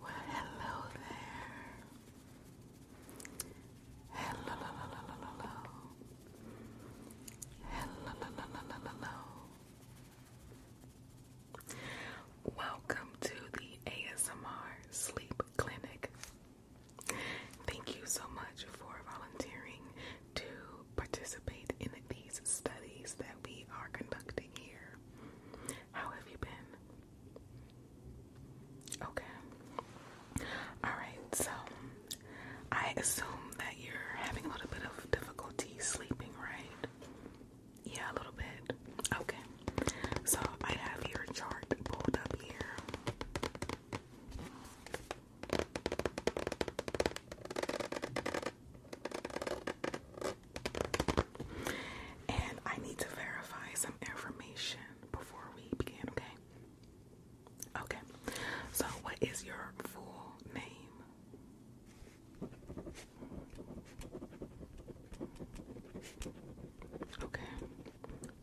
Well, hello there. Hello, hello, hello, hello, hello, hello. Welcome to the ASMR Sleep Clinic. Thank you so much for volunteering to participate in these studies that we are conducting here. How have you been? Okay. Alright, so I assume that you're having a little bit of difficulty sleeping, right? Yeah, a little bit. Okay. So I have your chart pulled up here. And I need to verify some information before we begin, okay? Okay. So, what is your full name? Okay.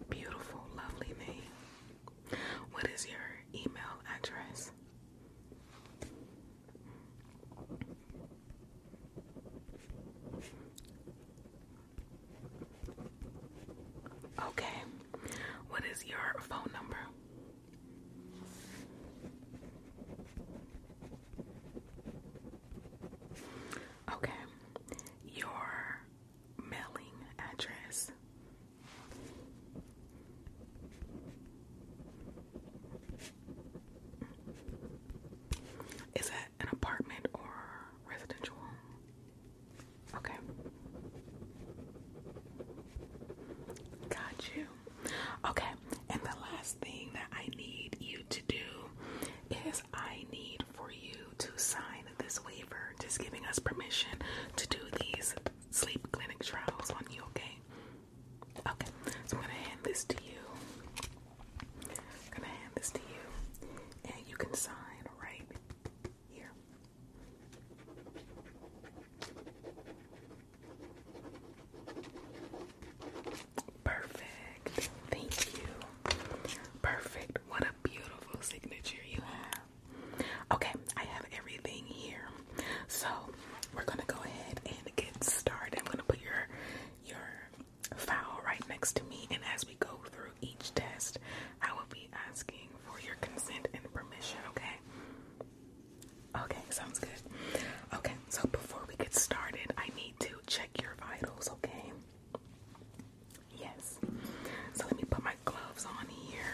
Beautiful, lovely name. What is your email address? Okay, what is your phone number? Okay, your mailing address. Is it an apartment or residential Okay. Got you. Okay, and the last thing that I need you to do is I need for you to sign this waiver, just giving us permission to do these sleep clinic trials on you, okay? Okay, so I'm gonna hand this to you. I'm gonna hand this to you, and you can sign right here. Perfect. Thank you. Perfect. What a beautiful signature you have. Okay, I have everything here. So we're gonna go ahead and get started. I'm gonna put your your file right next to me, and as we go through each test, I will be asking for your consent and permission. Okay. Okay, sounds good. Okay, so before we get started, I need to check your vitals. Okay. Yes. So let me put my gloves on here.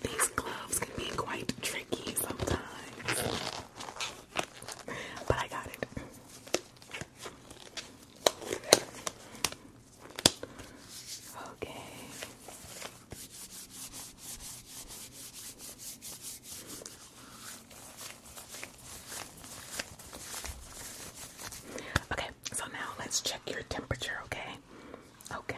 These gloves can be quite tricky sometimes, but I got it. Okay. Okay, so now let's check your temperature, okay? Okay.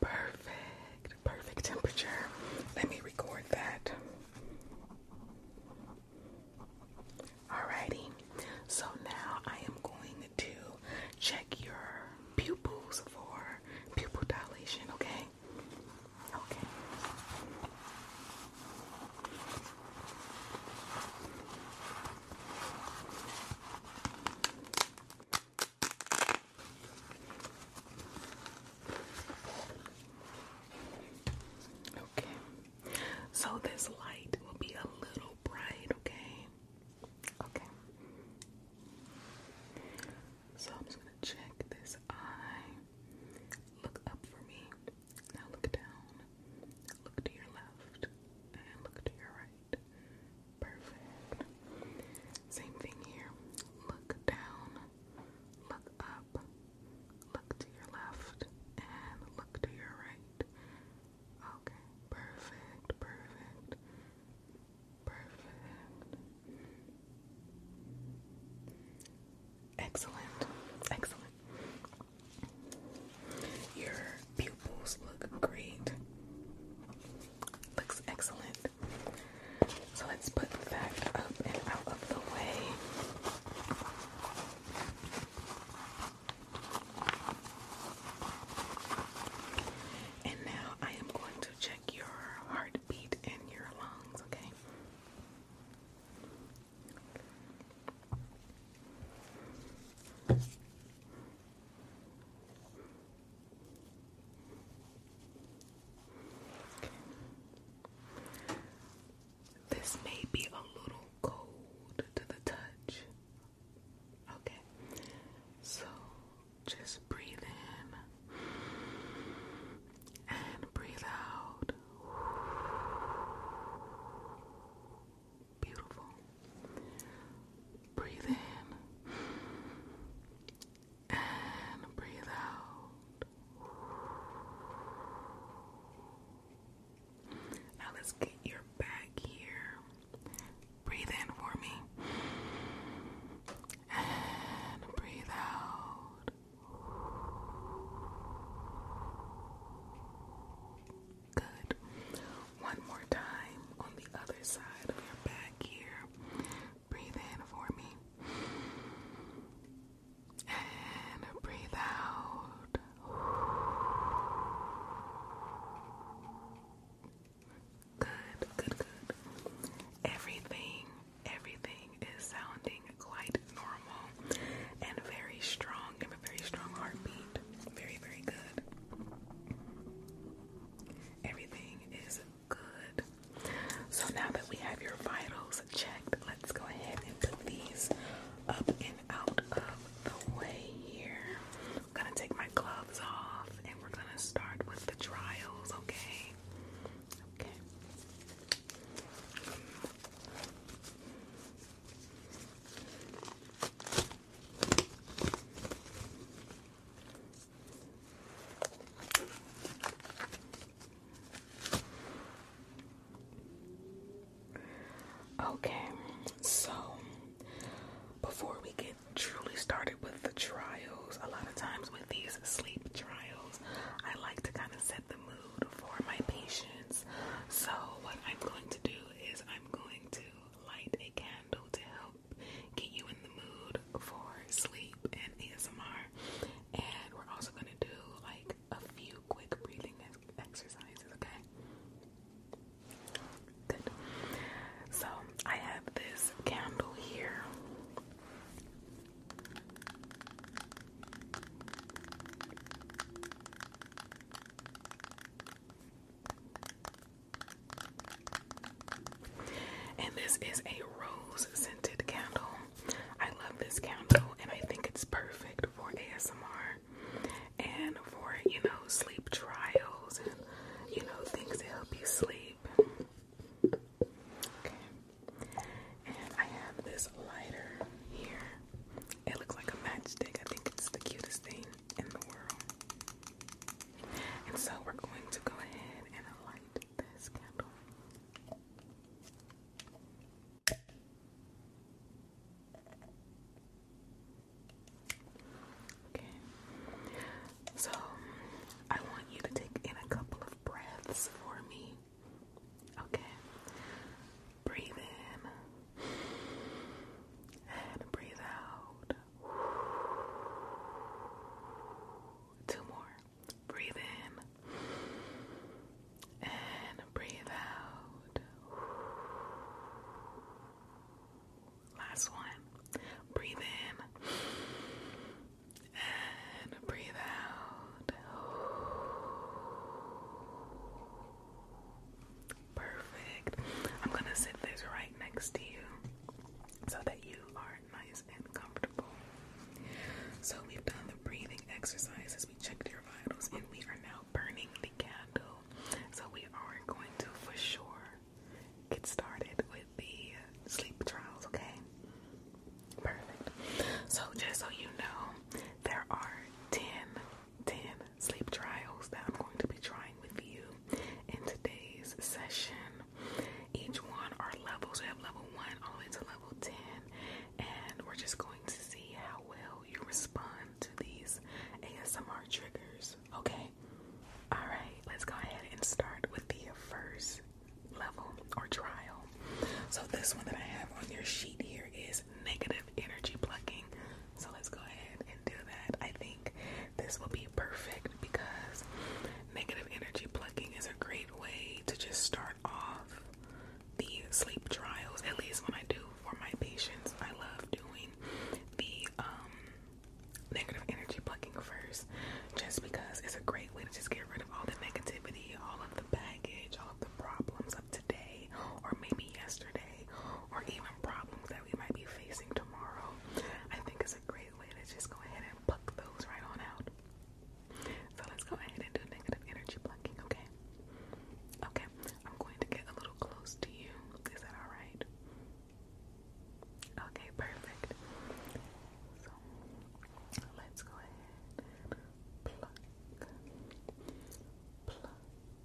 Perfect, perfect temperature. Let me record that. Alrighty, so now I am going to check your pupils for pupil dilation, okay? Okay. Okay, so this light will be a little bright, okay? Okay. So I'm just gonna check this eye. Look up for me. Now look down. Look to your left and look to your right. Perfect. Same thing here. Look down, look up, look to your left, and look to your right. Okay, perfect, perfect, perfect. Excellent, excellent. Your pupils look great. Looks excellent. So let's put that up and out of the way. And now I am going to check your heartbeat and your lungs, okay? This may be a little cold to the touch. Okay, so just breathe in and breathe out. Beautiful. Breathe in and breathe out. Now let's get your back here. Breathe in for me. And breathe out. Good. One more time on the other side of your back here. Breathe in for me. And breathe out. Good, good, good. Everything, everything is sounding quite normal and very strong very strong heartbeat. Very, very good. Everything is good. So now that we have your vitals checked, let's go ahead and put these up and out of the way here. gonna take my gloves off and we're gonna start with the trials, okay? Okay. Okay, so before we get truly started with the trials, a lot of times with these sleep trials, I like to kind of set the mood for my patients. So, what I'm going to do is I'm going to light a candle to help get you in the mood for sleep and ASMR. And we're also gonna do like a few quick breathing exercises, okay? Good. So I have this candle here. And this is a rose scented candle. I love this candle and I think it's perfect for ASMR and for, you know, sleep trials and, you know, things that help you sleep. Okay. And I have this lighter here. It looks like a matchstick. I think it's the cutest thing. And so we're going to go ahead and light this candle. Okay. So I want you to take in a couple of breaths for me. Okay. Breathe in and breathe out. Two more. Breathe in and breathe out. Last one. Breathe in and breathe out. Perfect. I'm gonna sit this right next to you so that you are nice and comfortable. So we've done the breathing exercises, we checked your vitals, and we are now burning the candle. So we are going to for sure get started with the sleep trials, okay? Perfect. So just so you know, there are 10, 10 sleep trials that I'm going to be trying with you in today's session. Each one are levels. We have level one all the way to level 10, and we're just going to see how well you respond to these ASMR triggers. Okay? Alright, let's go ahead and start with the first level or trial. So, this one that I have on your sheet here is negative energy plucking. So let's go ahead and do that. I think this will be perfect because negative energy plucking is a great way to just start off the sleep trials. At least when I do for my patients, I love doing the um, negative energy plucking first just because it's a great way to just get rid of all the negativity, all of the baggage, all of the problems of today or maybe yesterday or even problems that we might be facing tomorrow, I think it's a great way to just go ahead and pluck those right on out. So let's go ahead and do negative energy plucking, okay? Okay, I'm going to get a little close to you. Is that alright? Okay, perfect. So let's go ahead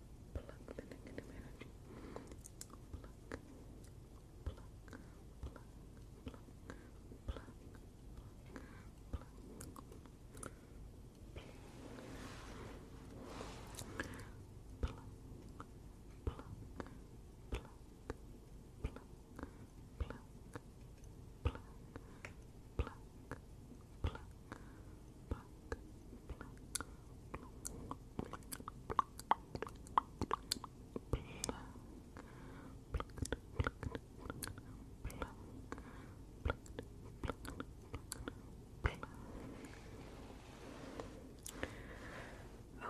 pluck the pluck, pluck, pluck, pluck, pluck, pluck. Pluck, pluck, pluck, pluck, pluck, pluck, pluck, pluck, pluck, pluck, pluck,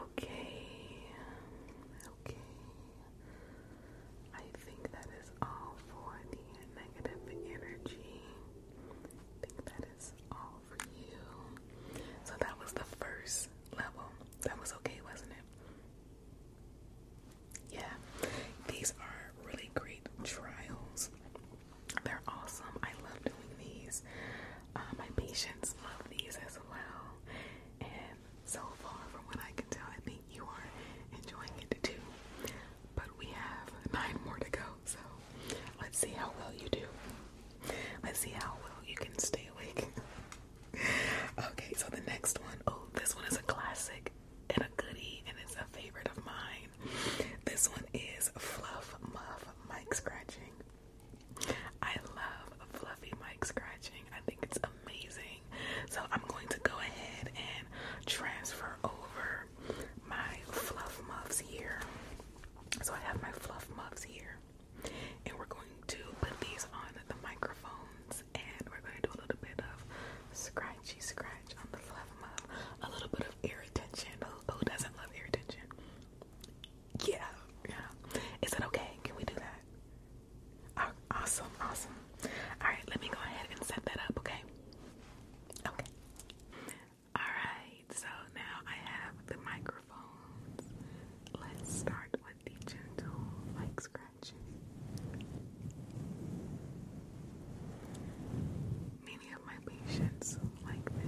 Okay, okay. I think that is all for the negative energy. I think that is all so that was the first level. That was okay, wasn't it? Yeah. These are really great trials. They're awesome. I love doing these. Uh, my patients love these as well. And so far, from what I can tell, I think you are enjoying it too. But we have nine more to go, so Let's see how well you do. Let's see how well you can stay awake. okay, so the next one, oh, this one is a classic and a goodie, and it's a favorite of mine. This one is Fluff Muff Mic Scratching. I love fluffy mic scratching. I think it's amazing. So I'm going to go ahead and transfer over my fluff muffs here. So I have my fluff muffs here, and we're going to put these on the microphones, and we're going to do a little bit of scratchy scratch on the fluff muffs. a little bit of irritation. attention. Who, doesn't love irritation? Yeah, yeah. Is that okay? Can we do that? awesome, awesome. All right, let me go ahead and set that up. Okay. Okay. Alright, so now I have the microphones. Let's start with the gentle, like scratching. Many of my patients like this.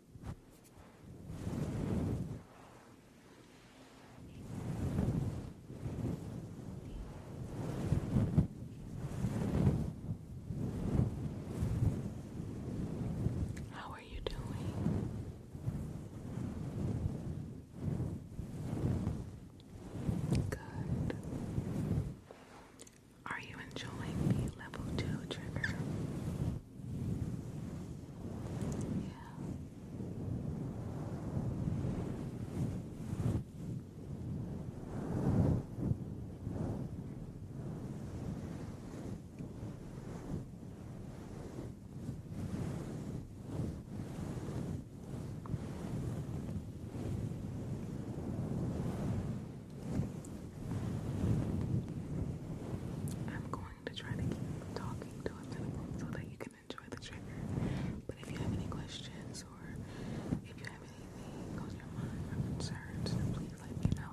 How are you doing? Good. Are you enjoying the level two trigger? I'm going going to try to keep talking to a so that you can enjoy the trigger. But if you have any questions or if you have anything on your mind or concerns, please let me know.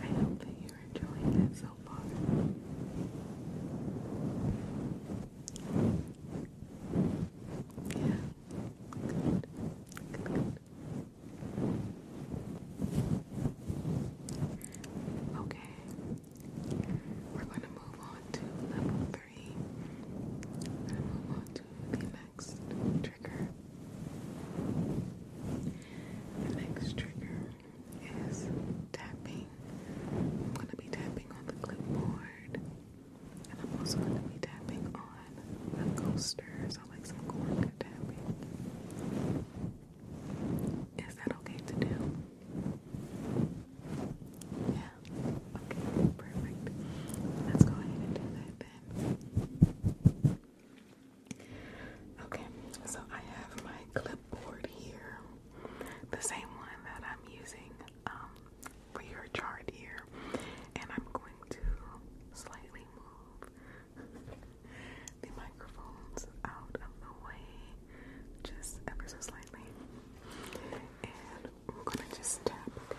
I hope that you're enjoying it so far. Yeah. Good. Good, Okay. We're going to move on to level 3 scary. Then we'll to the next trigger. The next trigger is tapping. I'm going to be tapping on the clipboard. And I'm also going to be tapping on a coaster. So like some cork tapping. Is that okay to do? Yeah, Okay, perfect. Let's go ahead and do that then. Okay, so I have my clipboard here, the same one that I'm using um, for your chart here, and I'm going to slightly move the microphones out of the way, just ever so slightly and we're gonna just tap, okay?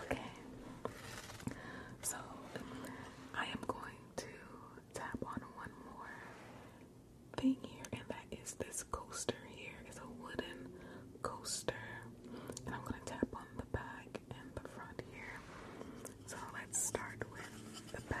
Okay, so I am going to tap on one more thing here, and that is this coaster here. It's a wooden coaster, and I'm going to tap on the back back the front here. So let's start with the back.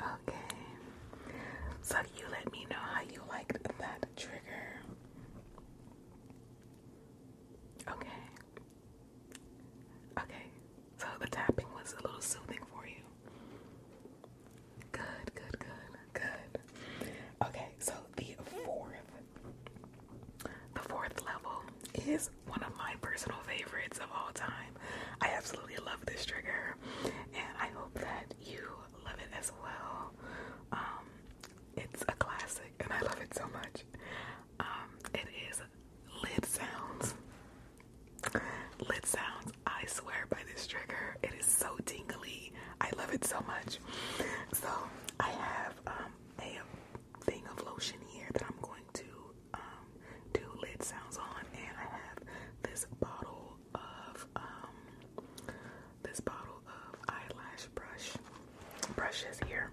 Okay. So you let me know how you liked that trigger. Okay. Okay. So the tapping was a little soothing for you. Good, good, good, good. Okay, so the fourth, the fourth level is one of my personal favorites of all time. I absolutely love this trigger, and I hope that you love it as well. Um, it's a classic, and I love it so much. Um, it is lid sounds. Lid sounds. I swear by this trigger. It is so tingly. I love it so much. So I have um, a thing of lotion here that I'm going to um, do lid sounds on, and I have this bottle of um, this bottle of eyelash brush brushes here.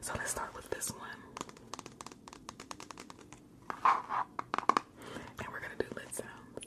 So let's start with this one, and we're gonna do lid sounds.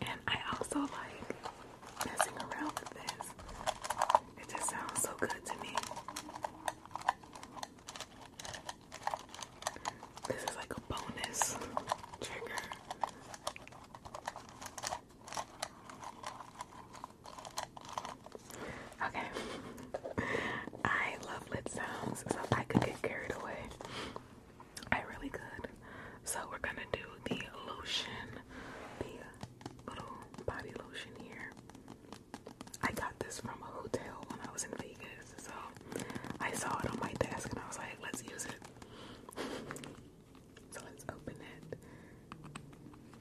And I also like messing around with this. It just sounds so good to me. This is like a bonus trigger. Okay. I love lip sounds, so I could get carried away. I really could. So we're gonna do the lotion, the little body lotion here. I got this from a hotel when I was in Vegas, so I saw it on my desk and I was like, let's use it. So let's open it.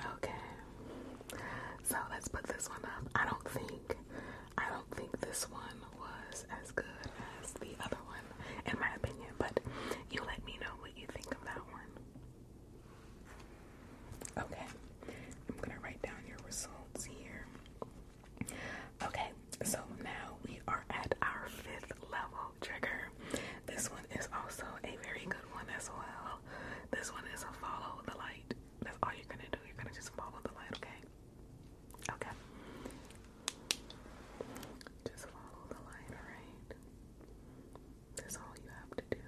Okay. So let's put this one up. I don't think I don't think this one was as good as the other one in my opinion, but you let me know what you think of that one. Okay, I'm gonna write down your results here. Okay, so now we are at our fifth level trigger. This one is also a very good one as well. This one is a follow the light. That's all you're gonna do. You're gonna just follow the light, okay? Okay. Just follow the light, alright? That's all you have to do.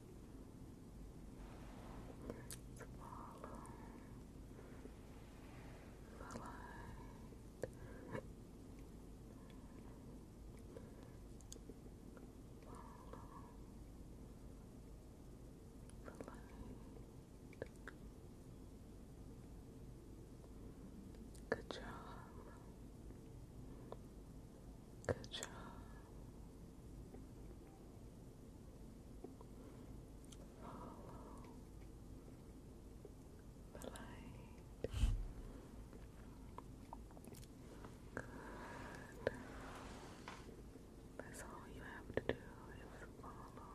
Follow the light. Follow Good job. Good job. Follow light. Good. That's all you have to do is follow light.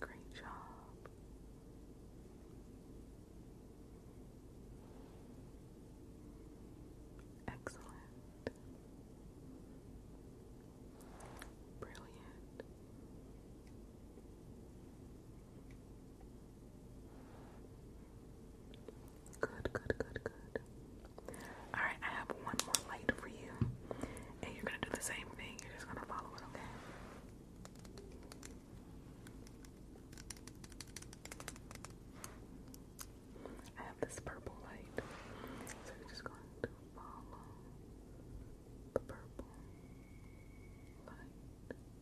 Great job. Excellent. Brilliant. Good, good, good, good. Alright, I have one more light for you. And you're gonna do the same thing. You're just gonna follow it, okay? I have this purple light, so we're just going to follow the purple light. Follow the purple light.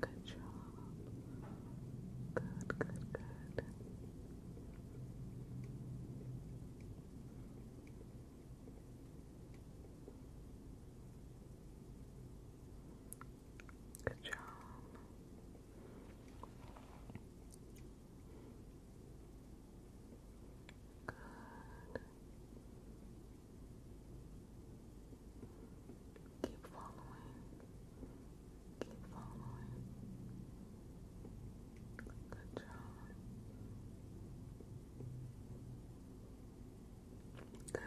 Good job. Good, good, good. Good job. Good. Keep following. Keep following. Good job.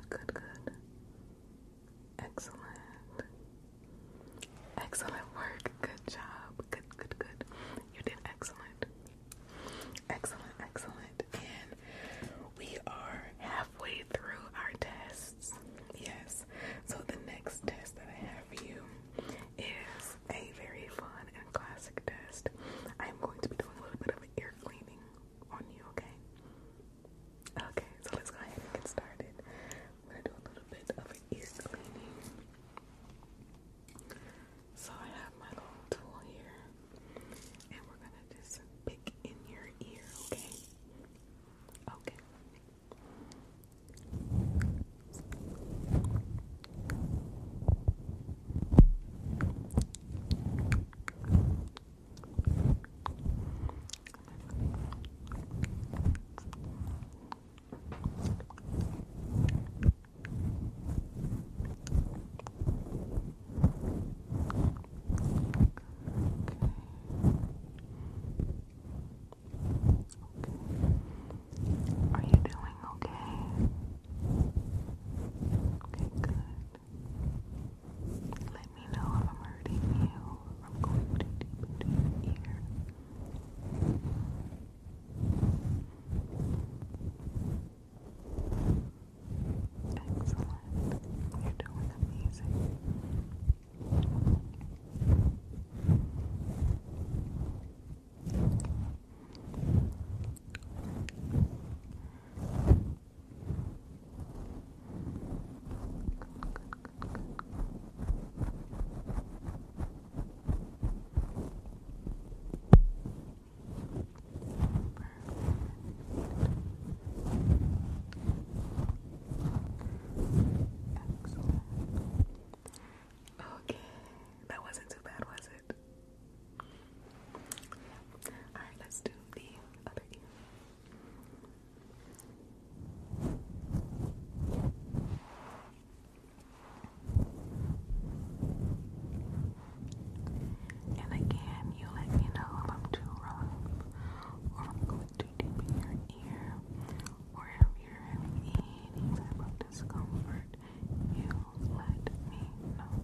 Good, good, good. Excellent. Excellent work. Good job. Good, good, good. You did excellent. Excellent, excellent. And we are halfway through our tests. Yes. So the next test that I have for you is a very fun and classic test. I am going to be doing a little bit of ear cleaning on you, okay? Okay, so let's go ahead and get started. I'm gonna do a little bit of ear cleaning. So I have my little tool here, and we're gonna just pick in your ear, okay? Okay. Okay. Are you doing okay? Okay, good. Let me know if I'm hurting you. I'm going to deep into your Excellent. You're doing amazing. Okay, that wasn't too bad, was it? Alright, let's do the other ear. And again, you let me know if I'm too rough or I'm going too deep in your ear or if you're having any type of discomfort. You let me know.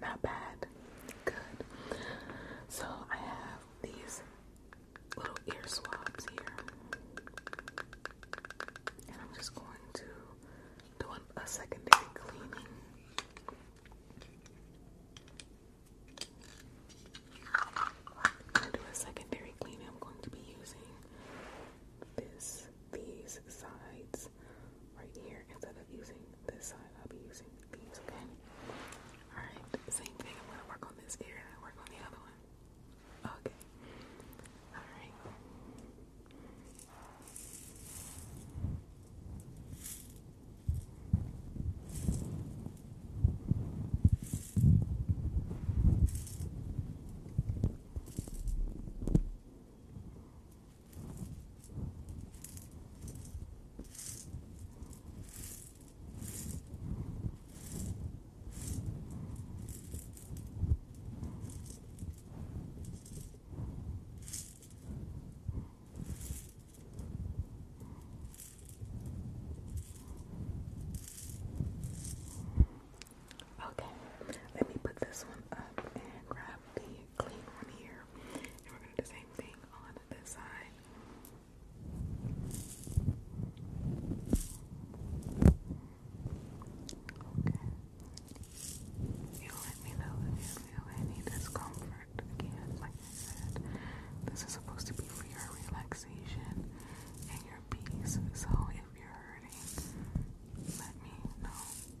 not bad. Good. So I have these little ear swabs here. And I'm just going to do a secondary cleaning. When I do a secondary cleaning, I'm going to be using this, these sides right here instead of using this side. I'll be using these, okay? Alright, same thing. I'm gonna work on this ear I work on the other one. Okay. Alright. Okay, let me put this one up and grab the clean one here, and we're gonna do the same thing on this side. Okay. You let me know if you feel any discomfort. Again, like I said, this is supposed to be for your relaxation and your peace. So if you're hurting, let me know.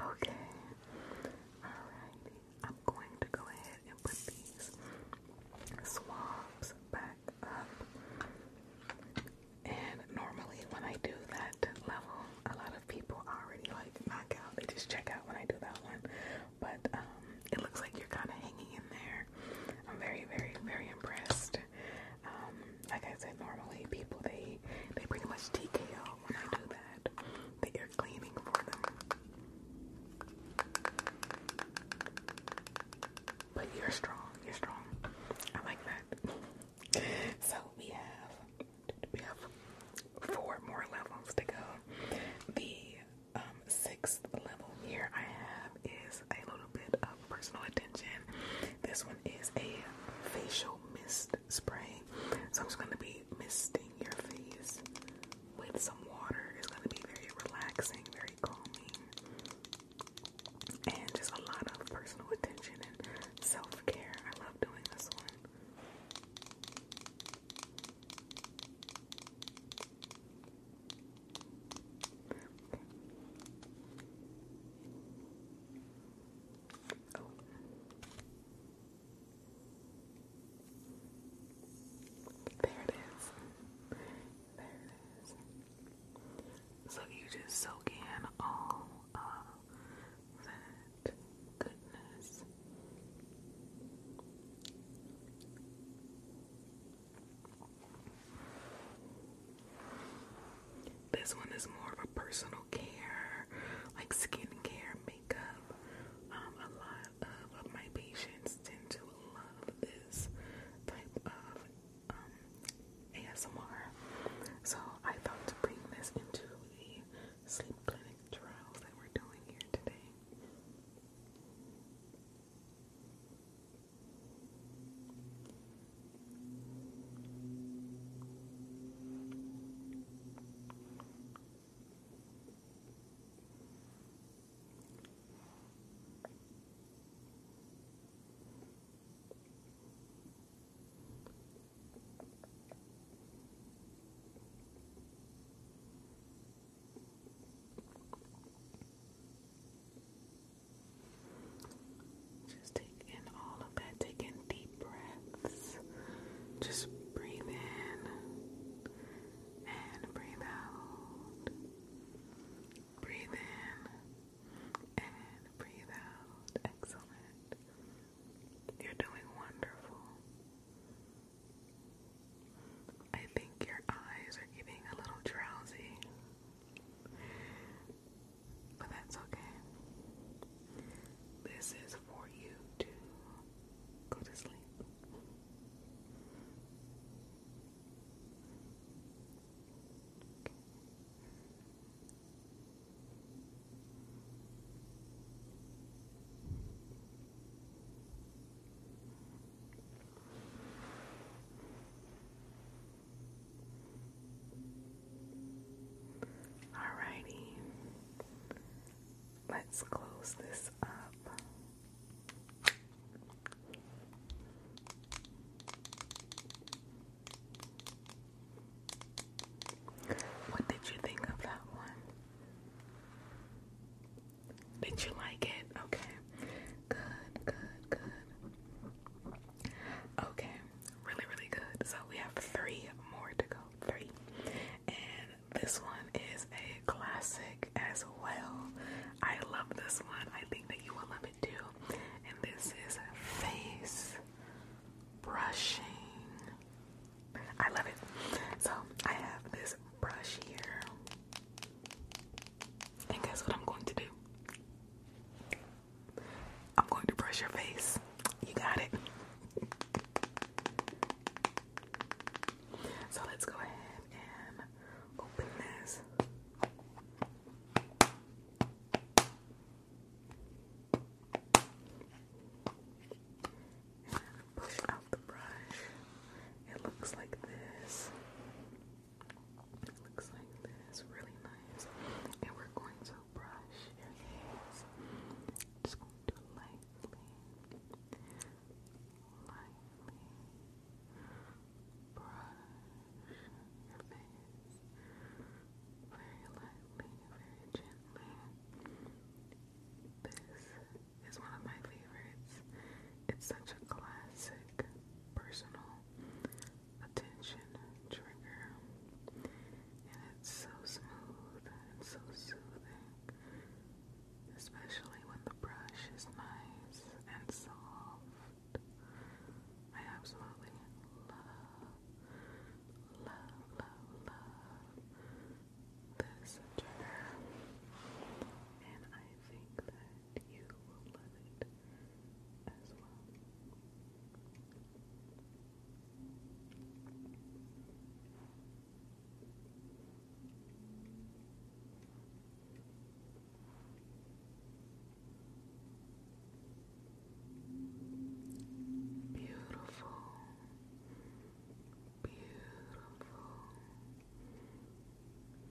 Okay, alrighty. I'm going to go ahead and put these swabs back up. And normally when I do that level, a lot of people already like knock out. They just check out when I do that one. But um, it looks like you're kind of hanging in there. I'm very, very, very impressed. Um, like I said, normally people they they pretty much TKO when I do that. you're cleaning for them. But you're strong, you're strong. I like that. So we have we have four more levels to go. The um, sixth level here I have is a little bit of personal attention. This one is a facial mist spray. So I'm just gonna be misting your face with some water it's going to be very relaxing, very calming, and just a lot of personal attention and self care. I love doing this one. There it is. There it is. So you just soak in all of that goodness. This one is more of a personal care, like skincare, makeup, um, a lot of my patients tend to love this type of um, ASMR. So I thought to bring this into the sleep clinic trials that we're doing here today. Just take all of that, take deep breaths. Just breathe and breathe out. Breathe in and breathe out. Excellent. You're doing wonderful. I think your eyes are getting a little drowsy. But that's okay. This is for you to go to sleep. Alrighty, let's close this up. What did you think of that one? Did you like it? Okay. Good, good, good. Okay. Really, really good. So we have three more to go. Three. And this one is a classic as well. I love this one. I think that you will love it too. And this is face brushing. I love it. So I have this brush here. And guess what I'm going to do? I'm going to brush your face. You got it. So let's go ahead and open this. And push out the brush. It looks like this. looks like this. Really nice. And we're going to brush your face. Just going to lightly lightly brush your face very lightly, very gently. This is one of my favorites. It's such a classic personal attention trigger. And it's so smooth and so soothing especially when the brush is nice and soft. I absolutely love, love, love, love this trigger, and I think that you will love it as well. Beautiful, beautiful.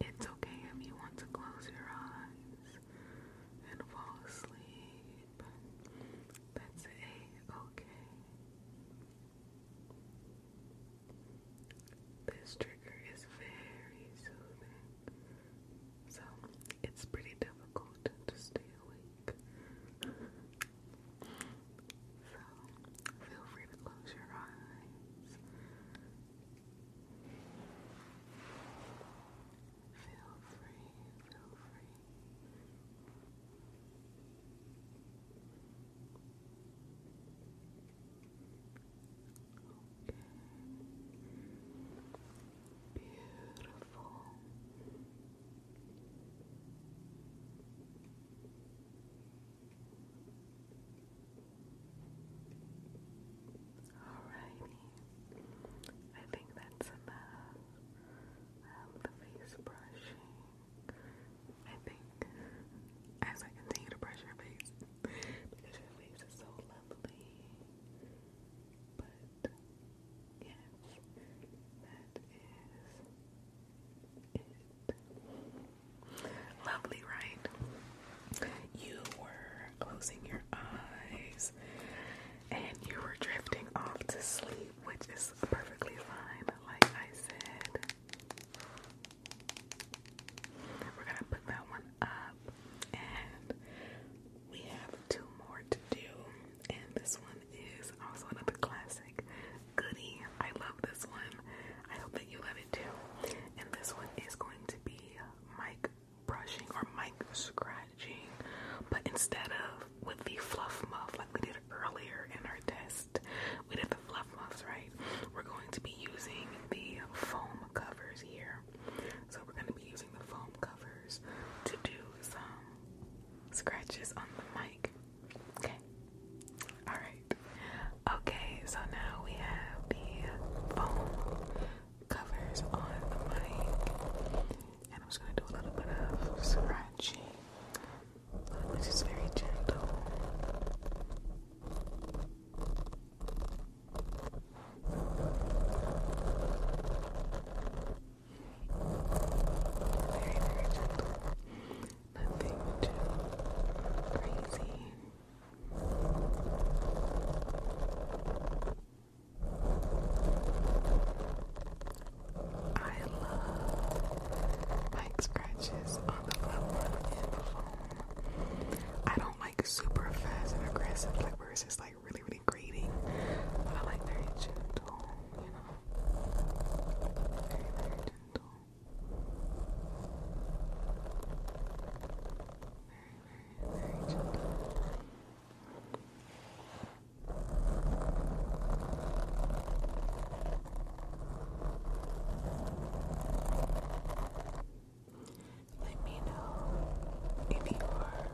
It's okay if you want to close your eyes and fall asleep. That's a okay. This trigger is very soothing, so it's pretty difficult to stay awake. So feel free to close your eyes. Feel free, feel free. Okay. Beautiful. Alrighty. I think that's enough of um, the face brushing. I think, as I continue to brush your face, because your face is so lovely. But yes, that is it. Lovely, right? You were closing your eyes and you were drifting off to sleep, which is perfectly fine, like I said we're gonna put that one up, and we have two more to do. And this one is also another classic goodie. I love this one. I hope that you love it too. And this one is going to be mic brushing or mic scratching, but instead of with the fluff muff like we did earlier in our test, we did the the fluff right, we're going to be using the foam covers here. So we're going to be using the foam covers to do some scratches on the mic. Okay. All right. Okay, so now we have the foam covers on the mic. And I'm just going to do a little bit of scratching which is very gentle. Very, very gentle. Nothing too crazy. I love mic scratches I don't like super fast and aggressive, like where it's like really, really grating. I like very gentle, you know. very, very gentle. Let me know if you are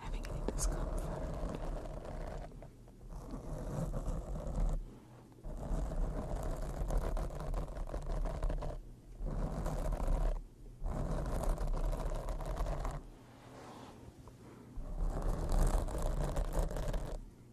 having any discomfort.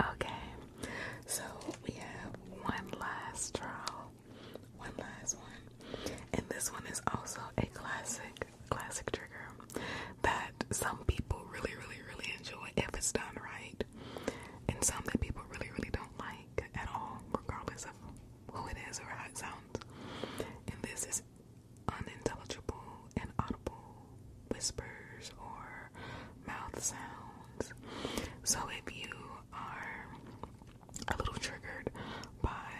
Okay, so we have one last draw. One last one. And this one is also a classic, classic trigger that some people really, really, really enjoy if it's done right. And some that people really, really don't like at all, regardless of who it is or how it sounds. And this is unintelligible and audible whispers or mouth sounds. So if you are a little triggered by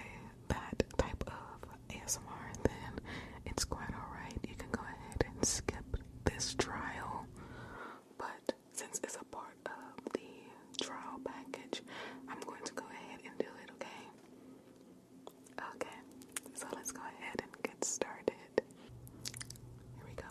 that type of ASMR, then it's quite alright. You can go ahead and skip this trial. But since it's a part of the trial package, I'm going to go ahead and do it, okay? Okay, so let's go ahead and get started. Here we go.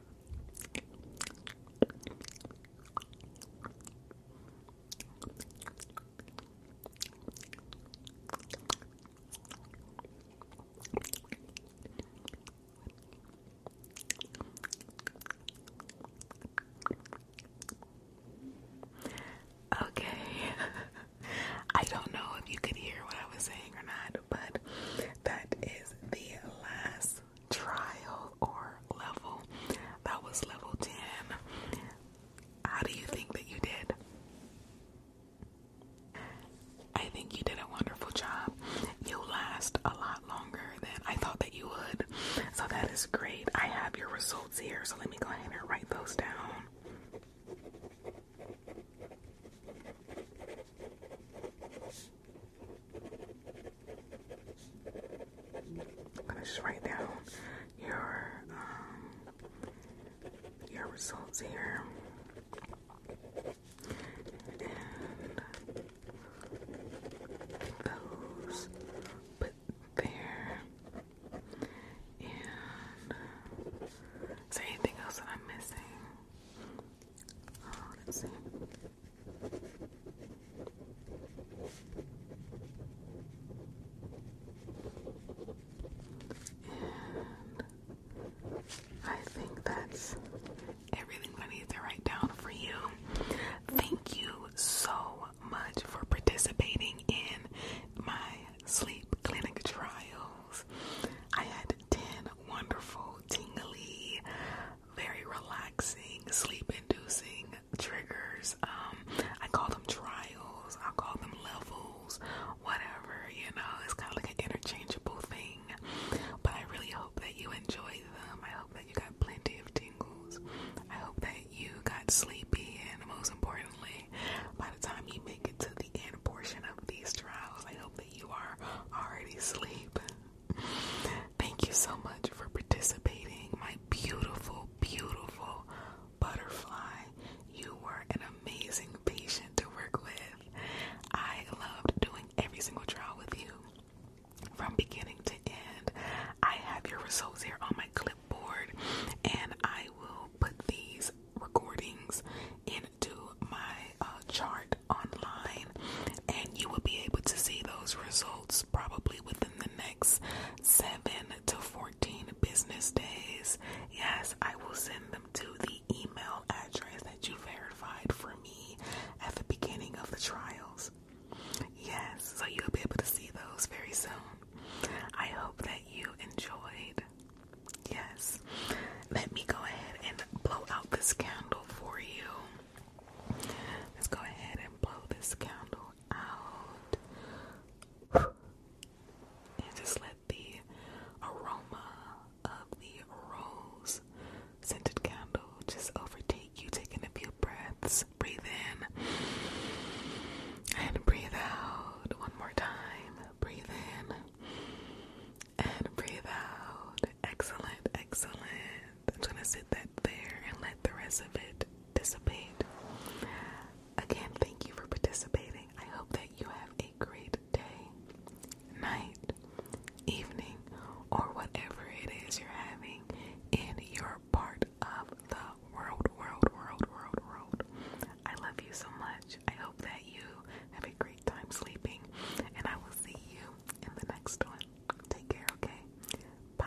Okay, I don't know if you could hear what I was saying or not, but that is the last trial or level. That was level 10. How do you think that you did? I think you did a wonderful job. You last a lot longer than I thought that you would. So that is great. I have your results here. So let me go ahead and write those down. I'm gonna just write down your um, your results here. And those put there. And is anything else that I'm missing? Oh, let's see. I think that's everything I need to write down for you. Thank you so much for participating in my sleep clinic trials. I had 10 wonderful, tingly, very relaxing, sleep inducing triggers. Um, I call them trials, I call them levels, whatever, you know, it's kind of like an interchangeable thing. But I really hope that you enjoy them. I hope that you got plenty of tingles. I hope that you got sleepy, and most importantly, by the time you make it to the end portion of these trials, I hope that you are already asleep. Thank you so much for participating, my beautiful, beautiful butterfly. You were an amazing patient to work with. I loved doing every single trial with you from beginning to end. I have your results here on my clipboard, and I will put these recordings into my uh, chart online, and you will be able to see those results probably within the next 7 to 14 business days. Yes, I will send them to the email address that you verified for me at the beginning of the trials. Yes, so you'll be able to see those very soon. I hope that you enjoyed. Yes, let me go ahead and blow out this candle for you. Let's go ahead and blow this candle out. And just let the aroma of the rose scented candle just overtake you, taking a few breaths. Breathe in and breathe out one more time. Breathe in and breathe out. Excellent, excellent. I'm gonna sit that there and let the rest of it dissipate. Again, thank you for participating. I hope that you have a great day, night, evening, or whatever it is you're having in your part of the world, world, world, world, world. I love you so much. I hope that you have a great time sleeping, and I will see you in the next one. Take care, okay? Bye.